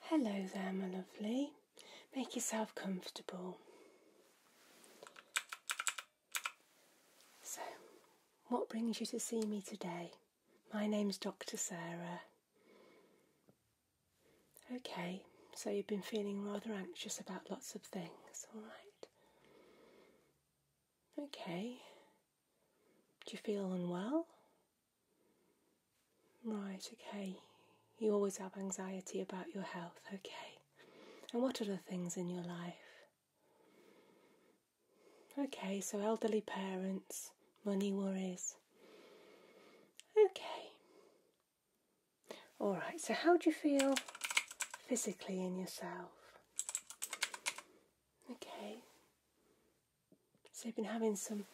Hello there, my lovely. Make yourself comfortable. So, what brings you to see me today? My name's Dr. Sarah. Okay, so you've been feeling rather anxious about lots of things, all right? Okay. Do you feel unwell? Right, okay. You always have anxiety about your health, okay. And what are the things in your life? Okay, so elderly parents, money worries. Okay. Alright, so how do you feel physically in yourself? Okay. So you've been having some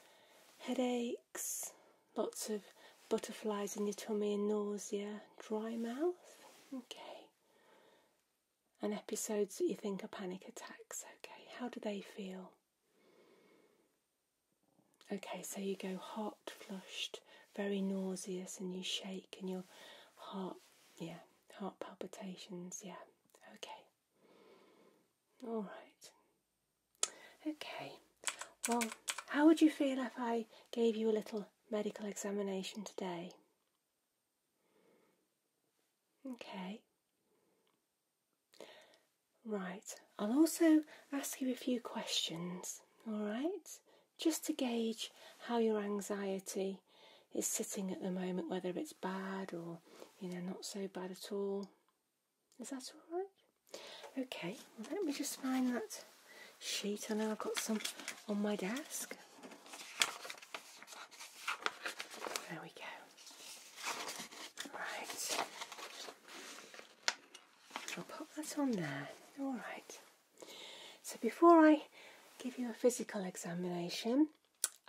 headaches, lots of butterflies in your tummy and nausea dry mouth. Okay. And episodes that you think are panic attacks. Okay. How do they feel? Okay, so you go hot, flushed, very nauseous, and you shake, and your heart, yeah, heart palpitations, yeah. Okay. All right. Okay. Well, how would you feel if I gave you a little medical examination today. Okay. Right, I'll also ask you a few questions, alright? Just to gauge how your anxiety is sitting at the moment, whether it's bad or, you know, not so bad at all. Is that alright? Okay, let me just find that sheet. I know I've got some on my desk. There we go. Right. I'll pop that on there. Alright. So before I give you a physical examination,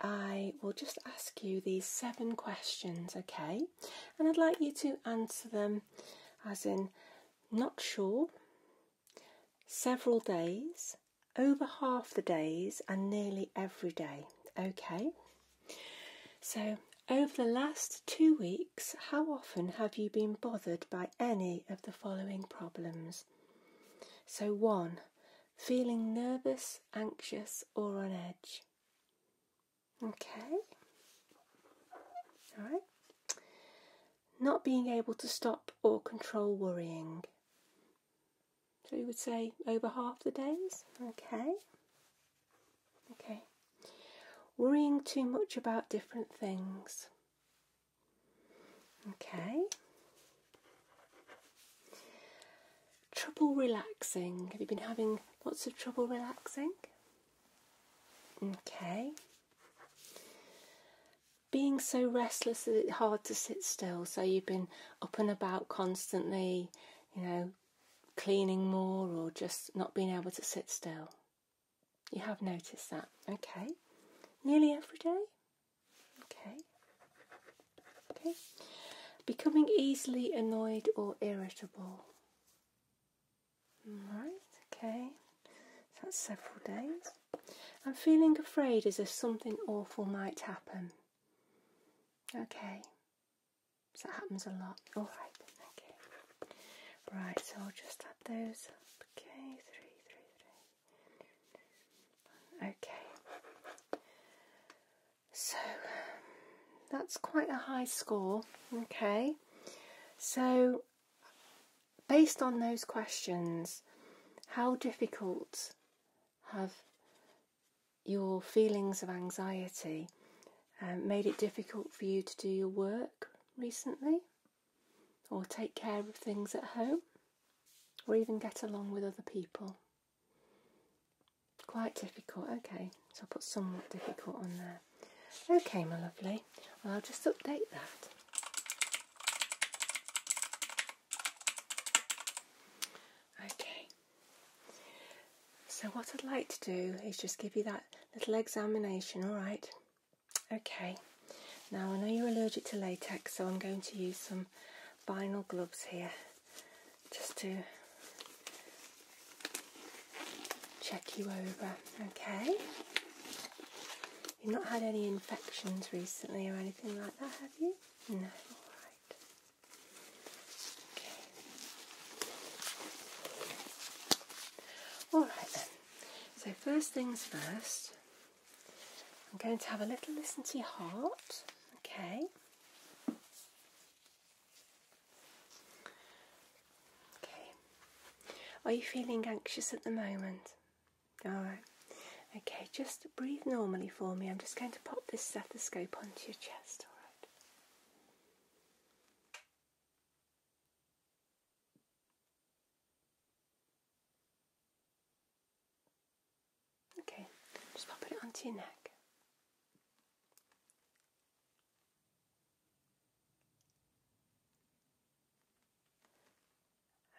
I will just ask you these seven questions, okay? And I'd like you to answer them as in not sure, Several days, over half the days, and nearly every day. Okay, so over the last two weeks, how often have you been bothered by any of the following problems? So, one, feeling nervous, anxious, or on edge. Okay, all right not being able to stop or control worrying. So you would say over half the days? Okay. Okay. Worrying too much about different things. Okay. Trouble relaxing. Have you been having lots of trouble relaxing? Okay. Being so restless that it's hard to sit still, so you've been up and about constantly, you know, cleaning more or just not being able to sit still. You have noticed that, okay? Nearly every day, okay? Okay. Becoming easily annoyed or irritable. Right, okay. So that's several days. I'm feeling afraid as if something awful might happen. Okay. So that happens a lot. Alright, okay. Right, so I'll just add those up. Okay, three, three, three. Okay. So that's quite a high score. Okay. So based on those questions, how difficult have your feelings of anxiety um, made it difficult for you to do your work recently, or take care of things at home, or even get along with other people? Quite difficult, okay so I'll put somewhat difficult on there. Okay, my lovely, I'll just update that. Okay, so what I'd like to do is just give you that little examination, alright? Okay, now I know you're allergic to latex, so I'm going to use some vinyl gloves here just to check you over, okay? You've not had any infections recently or anything like that, have you? No, alright. Okay. Alright then. So, first things first, I'm going to have a little listen to your heart, okay? Okay. Are you feeling anxious at the moment? Alright. Okay, just breathe normally for me. I'm just going to pop this stethoscope onto your chest, alright? Okay, just pop it onto your neck.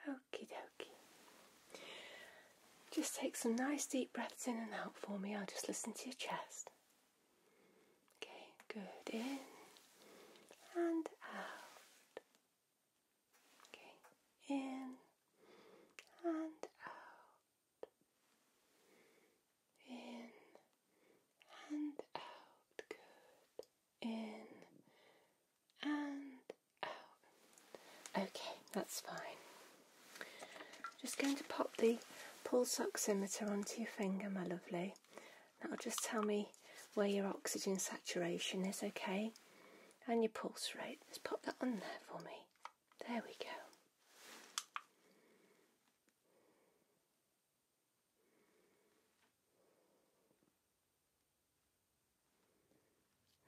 Okie dokie. Just take some nice deep breaths in and out for me. I'll just listen to your chest. Okay, good. In and out. Okay, in and out in and out. Good. In and out. Okay, that's fine. Just going to pop the pulse oximeter onto your finger, my lovely. That'll just tell me where your oxygen saturation is, okay? And your pulse rate. Just pop that on there for me. There we go.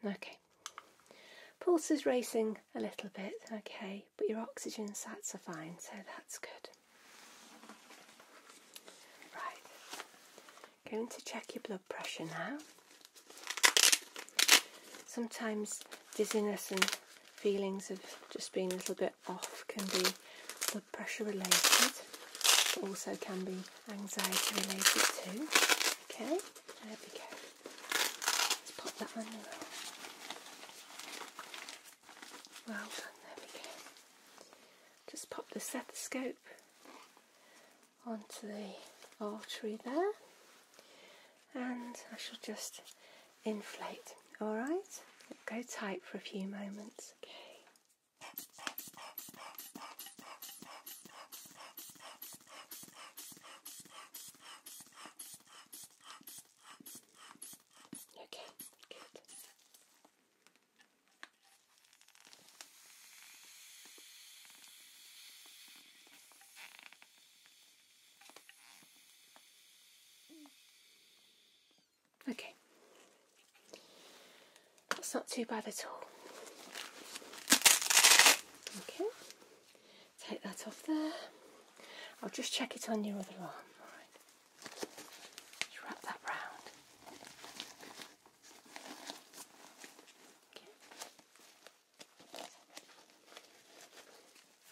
Okay. Pulse is racing a little bit, okay, but your oxygen sats are fine, so that's good. Right. Going to check your blood pressure now. Sometimes dizziness and feelings of just being a little bit off can be blood pressure related, also can be anxiety related too. Okay, there we go. Let's pop that on Well done, there we go. Just pop the stethoscope onto the artery there and I shall just inflate. All right, go tight for a few moments. Okay. Okay, good. Okay, that's not too bad at all. Okay, take that off there. I'll just check it on your other arm. All right. wrap that round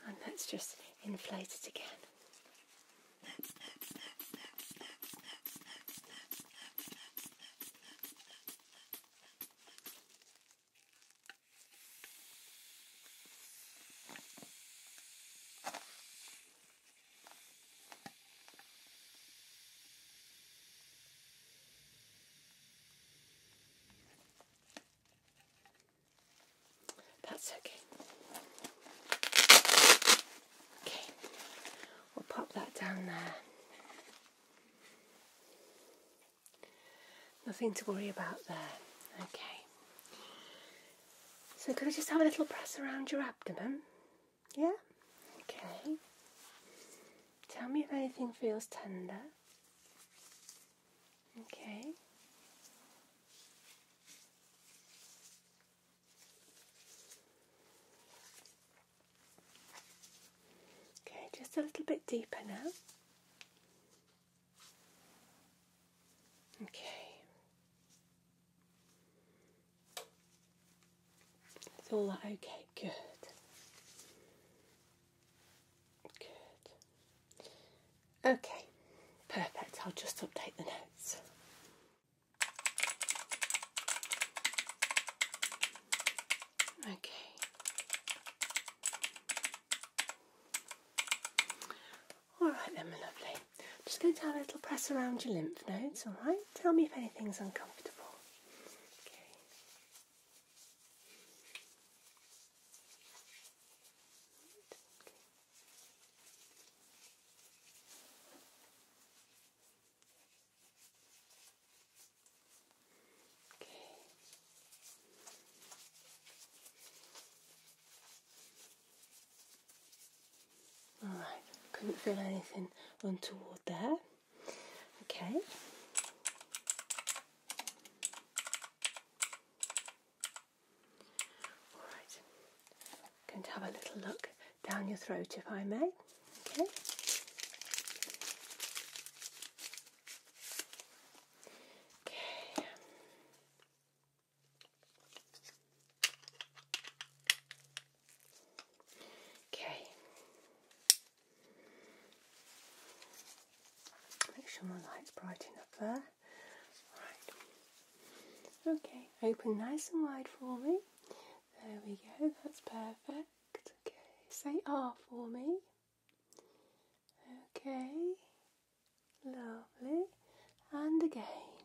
and let's just inflate it again. That's okay. Okay, we'll pop that down there. Nothing to worry about there. Okay. So could I just have a little press around your abdomen? Yeah? Okay. Tell me if anything feels tender. Okay. Okay, just a little bit deeper now. Okay. It's all okay, good. Good. Okay, perfect. I'll just update the notes. Okay. All right then, my lovely. i just going to have a little press around your lymph nodes, all right? Tell me if anything's uncomfortable. Okay. Okay. All right. Couldn't feel anything untoward there. Okay. Alright, i have a little look down your throat if I may. Okay. Okay. Okay. Make sure my light's bright enough there. Alright. Okay, open nice and wide for me. There we go, that's perfect. Okay, say R for me. Okay, lovely. And again.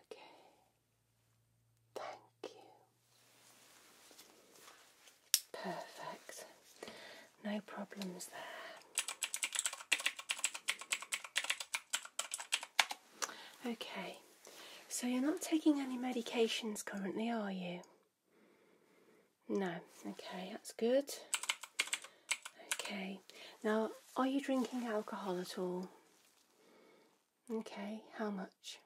Okay, thank you. Perfect. No problems there. Okay, so you're not taking any medications currently, are you? No, okay, that's good. Okay, now are you drinking alcohol at all? Okay, how much?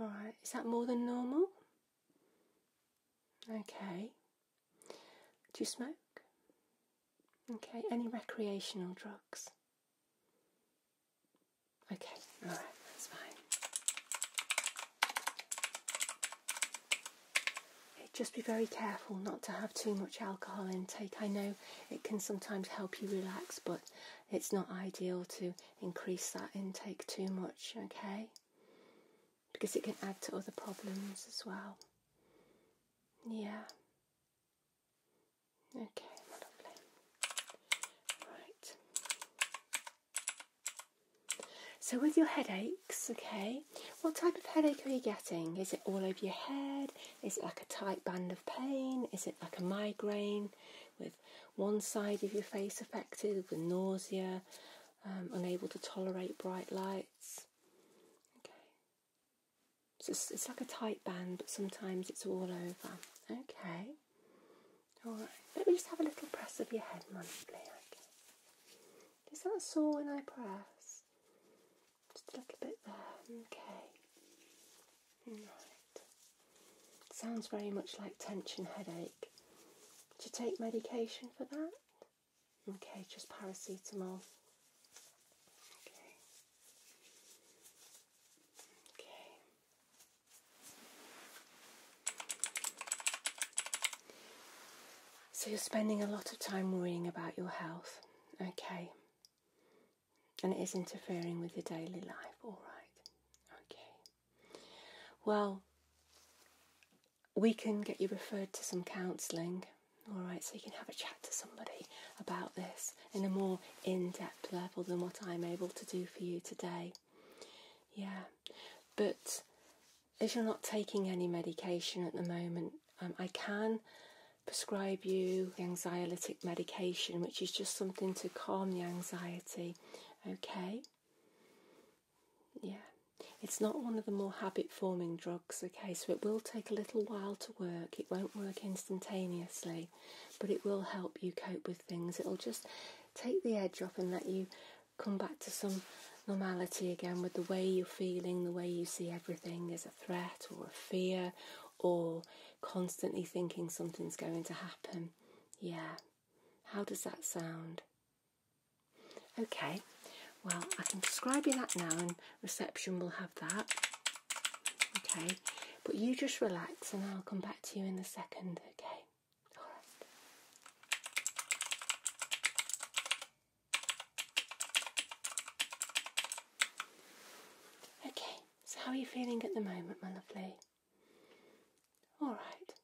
Alright, is that more than normal? Okay. Do you smoke? Okay. Any recreational drugs? Okay, all right, that's fine. Just be very careful not to have too much alcohol intake. I know it can sometimes help you relax, but it's not ideal to increase that intake too much, okay? Because it can add to other problems as well. Yeah. Okay, lovely. Right. So, with your headaches, okay, what type of headache are you getting? Is it all over your head? Is it like a tight band of pain? Is it like a migraine? one side of your face affected with nausea, um, unable to tolerate bright lights. Okay. it's, like a tight band, but sometimes it's all over. Okay. All right. Let me just have a little press of your head, Mum, Okay. Is that sore when I press? Just a little bit there. Okay. Right. Sounds very much like tension headache. To take medication for that? Okay, just paracetamol. Okay. Okay. So you're spending a lot of time worrying about your health. Okay. And it is interfering with your daily life. All right. Okay. Well, we can get you referred to some counselling, all right, so you can have a chat to somebody about this in a more in depth level than what I'm able to do for you today. Yeah, but if you're not taking any medication at the moment, um, I can prescribe you anxiolytic medication, which is just something to calm the anxiety Okay? Yeah. It's not one of the more habit forming drugs, okay, so it will take a little while to work. It won't work instantaneously, but it will help you cope with things. It'll just take the edge off and let you come back to some normality again with the way you're feeling, the way you see everything as a threat or a fear, or constantly thinking something's going to happen. Yeah, how does that sound? Okay, well, I can describe you that now, and reception will have that. Okay, but you just relax, and I'll come back to you in a second. Okay, all right. Okay, so how are you feeling at the moment, my lovely? All right.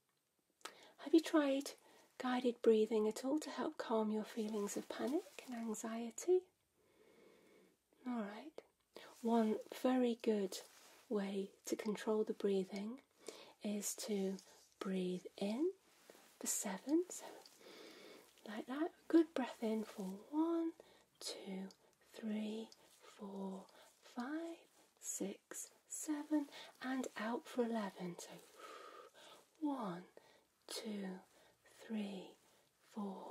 Have you tried guided breathing at all to help calm your feelings of panic and anxiety? All right. One very good way to control the breathing is to breathe in for seven, like that. Good breath in for one, two, three, four, five, six, seven, and out for 11. So one, two, three, four,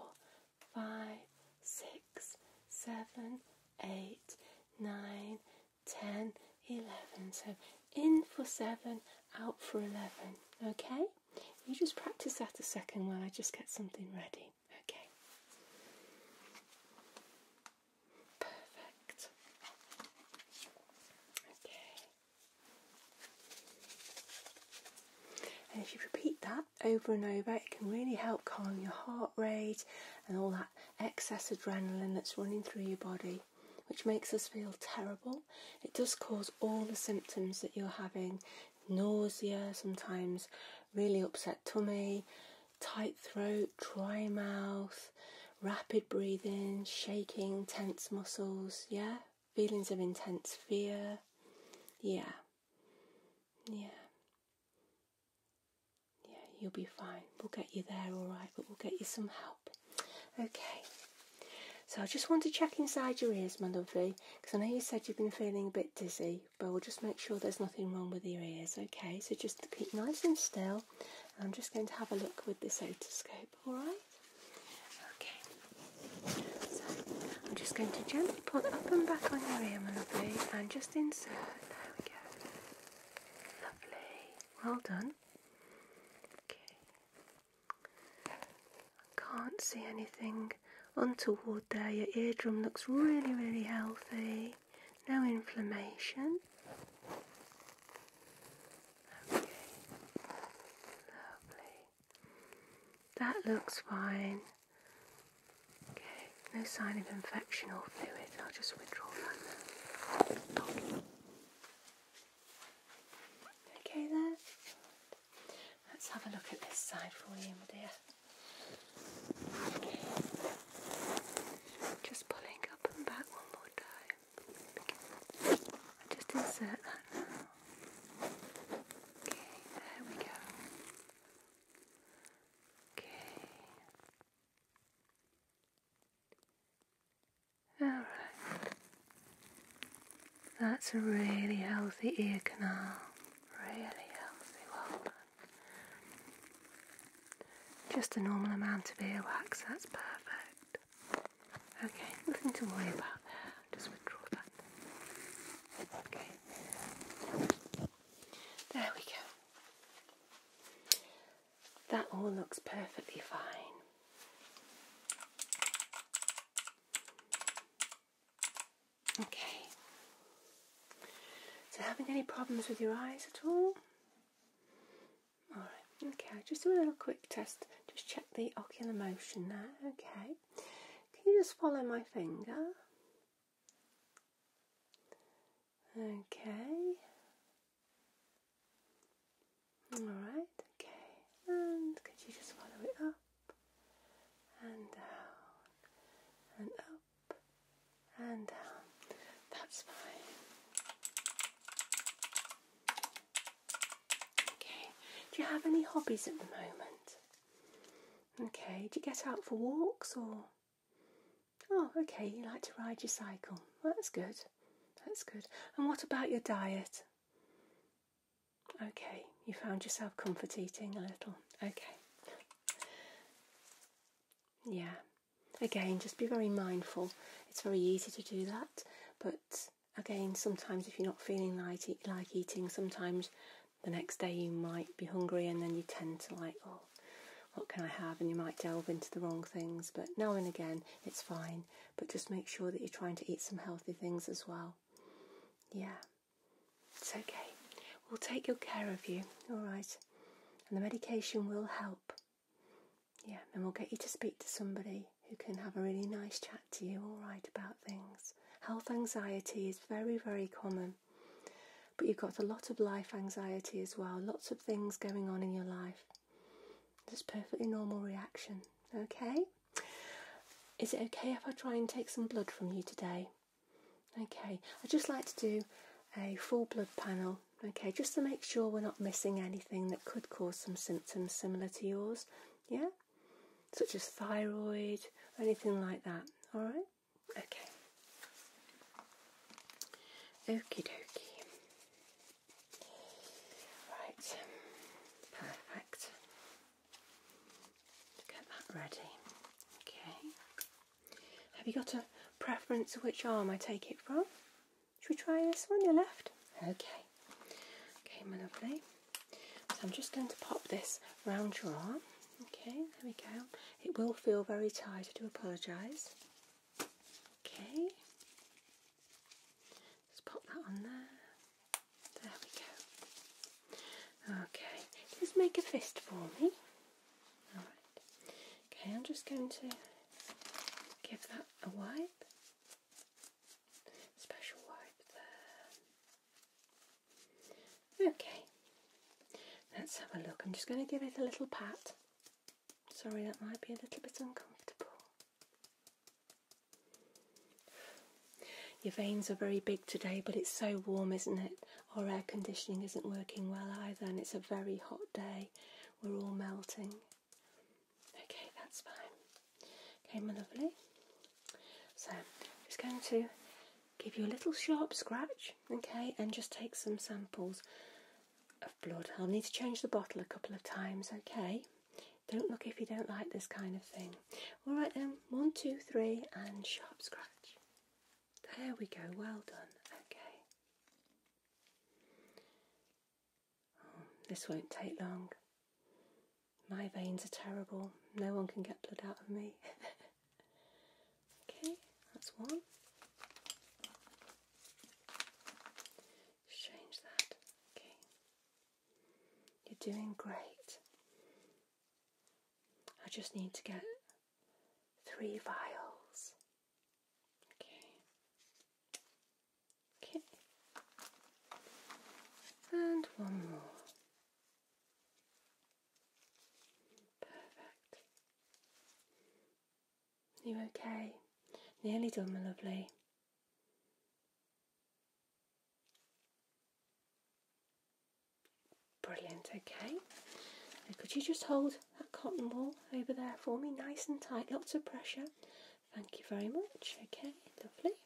five, six, seven, eight, nine, ten, eleven. So in for seven, out for 11. Okay? You just practice that a second while I just get something ready. Okay. Perfect. Okay. And if you repeat that over and over, it can really help calm your heart rate and all that excess adrenaline that's running through your body, which makes us feel terrible. It does cause all the symptoms that you're having nausea, sometimes really upset tummy, tight throat, dry mouth, rapid breathing, shaking, tense muscles, yeah? Feelings of intense fear, yeah. Yeah. Yeah, you'll be fine. We'll get you there, alright, but we'll get you some help. Okay. So I just want to check inside your ears, my lovely, because I know you said you've been feeling a bit dizzy but we'll just make sure there's nothing wrong with your ears. Okay, so just keep nice and still. I'm just going to have a look with this otoscope, alright? Okay, so I'm just going to gently put up and back on your ear, lovely, and just insert. There we go. Lovely. Well done. Okay. I can't see anything nothing untoward there. Your eardrum looks really, really healthy. No inflammation. Okay. Lovely. That looks fine. Okay, no sign of infection or fluid. I'll just withdraw that okay there. Let's have a look at this side for you, my dear. Just pulling up and back one more time. just insert that now. Okay, there we go. Okay. Alright. That's a really healthy ear canal. Really healthy walnut. Just a normal amount of ear wax. that's perfect. Okay, nothing to worry about there. Just withdraw that. Okay. There we go. That all looks perfectly fine. Okay. So, having any problems with your eyes at all? Alright, okay, I'll just do a little quick test. Just check the ocular motion there, okay. Can you just follow my finger? Okay. Alright, okay. And could you just follow it up? and down and up and down. That's fine. Okay, do you have any hobbies at the moment? Okay, do you get out for walks or? Oh, okay, you like to ride your cycle. that's good. That's good. And what about your diet? Okay, you found yourself comfort eating a little. Okay. Yeah. Again, just be very mindful. It's very easy to do that, but again, sometimes if you're not feeling like, like eating, sometimes the next day you might be hungry and then you tend to like, oh, what can I have? And you might delve into the wrong things, but now and again it's fine. But just make sure that you're trying to eat some healthy things as well. Yeah. It's okay. We'll take good care of you, all right? And the medication will help. Yeah, and we'll get you to speak to somebody who can have a really nice chat to you, all right, about things. Health anxiety is very, very common. But you've got a lot of life anxiety as well, lots of things going on in your life. That's perfectly normal reaction, okay? Is it okay if I try and take some blood from you today? Okay, I'd just like to do a full blood panel, okay, just to make sure we're not missing anything that could cause some symptoms similar to yours, yeah? Such as thyroid, or anything like that, alright? Okay. Okey dokey. Right, perfect get that ready. Okay. Have you got a preference which arm I take it from? Should we try this one, your left? Okay. Okay, my lovely. So I'm just going to pop this round your arm. Okay, there we go. It will feel very tight, I do apologise. Okay. Just pop that on there. There we go. Okay, just make a fist for me. Alright. Okay, I'm just going to give that a wipe. Special wipe there. Okay. Let's have a look. I'm just going to give it a little pat. Sorry, that might be a little bit uncomfortable. Your veins are very big today, but it's so warm, isn't it? Our air conditioning isn't working well either, and it's a very hot day. We're all melting. Okay, that's fine. Okay, my lovely. So, I'm just going to give you a little sharp scratch, okay, and just take some samples of blood. I'll need to change the bottle a couple of times, okay? Don't look if you don't like this kind of thing. All right then, one, two, three, and sharp scratch. There we go, well done. Okay. Oh, this won't take long. My veins are terrible. No one can get blood out of me. okay, that's one. Change that. Okay. You're doing great. I just need to get three vials. Okay. Okay. And one more. Perfect. You okay? Nearly done, my lovely. Brilliant, okay. could you just hold that cotton wool over there for me, nice and tight, lots of pressure. Thank you very much. Okay, lovely.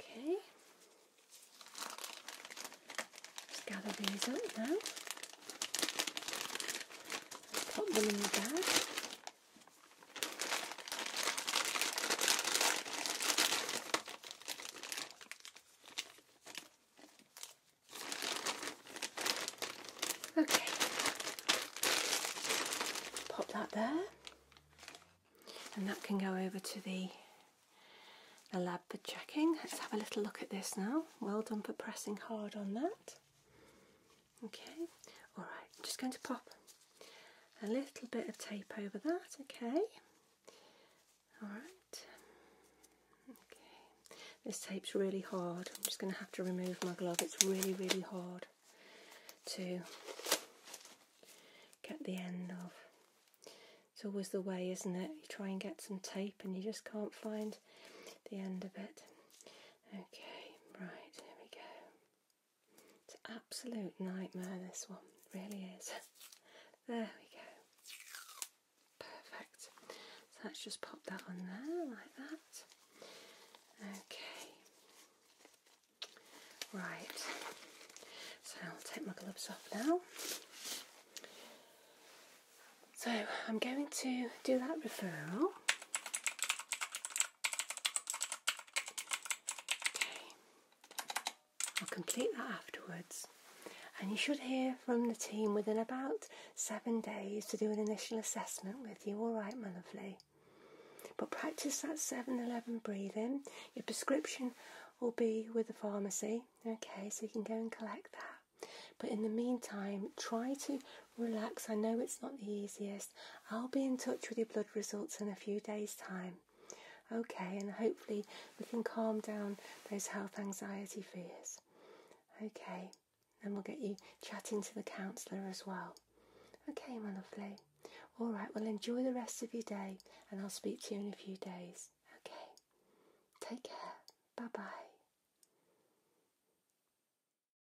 Okay. Just gather these up now. Pop them in the bag. Okay, pop that there, and that can go over to the the lab for checking. Let's have a little look at this now. Well done for pressing hard on that. Okay, alright, just going to pop a little bit of tape over that, okay? Alright, okay, this tape's really hard. I'm just going to have to remove my glove, it's really, really hard to get the end of. It's always the way, isn't it? You try and get some tape and you just can't find the end of it. Okay, right, here we go. It's an absolute nightmare, this one, really is. there we go. Perfect. So let's just pop that on there like that. Okay. Right. So I'll take my gloves off now. So I'm going to do that referral. I'll complete that afterwards. And you should hear from the team within about seven days to do an initial assessment with you, alright, my lovely. But practice that 7 11 breathing. Your prescription will be with the pharmacy, okay, so you can go and collect that. But in the meantime, try to Relax, I know it's not the easiest. I'll be in touch with your blood results in a few days' time. Okay, and hopefully we can calm down those health anxiety fears. Okay, and we'll get you chatting to the counsellor as well. Okay, my lovely. All right, well, enjoy the rest of your day, and I'll speak to you in a few days. Okay, take care. Bye bye.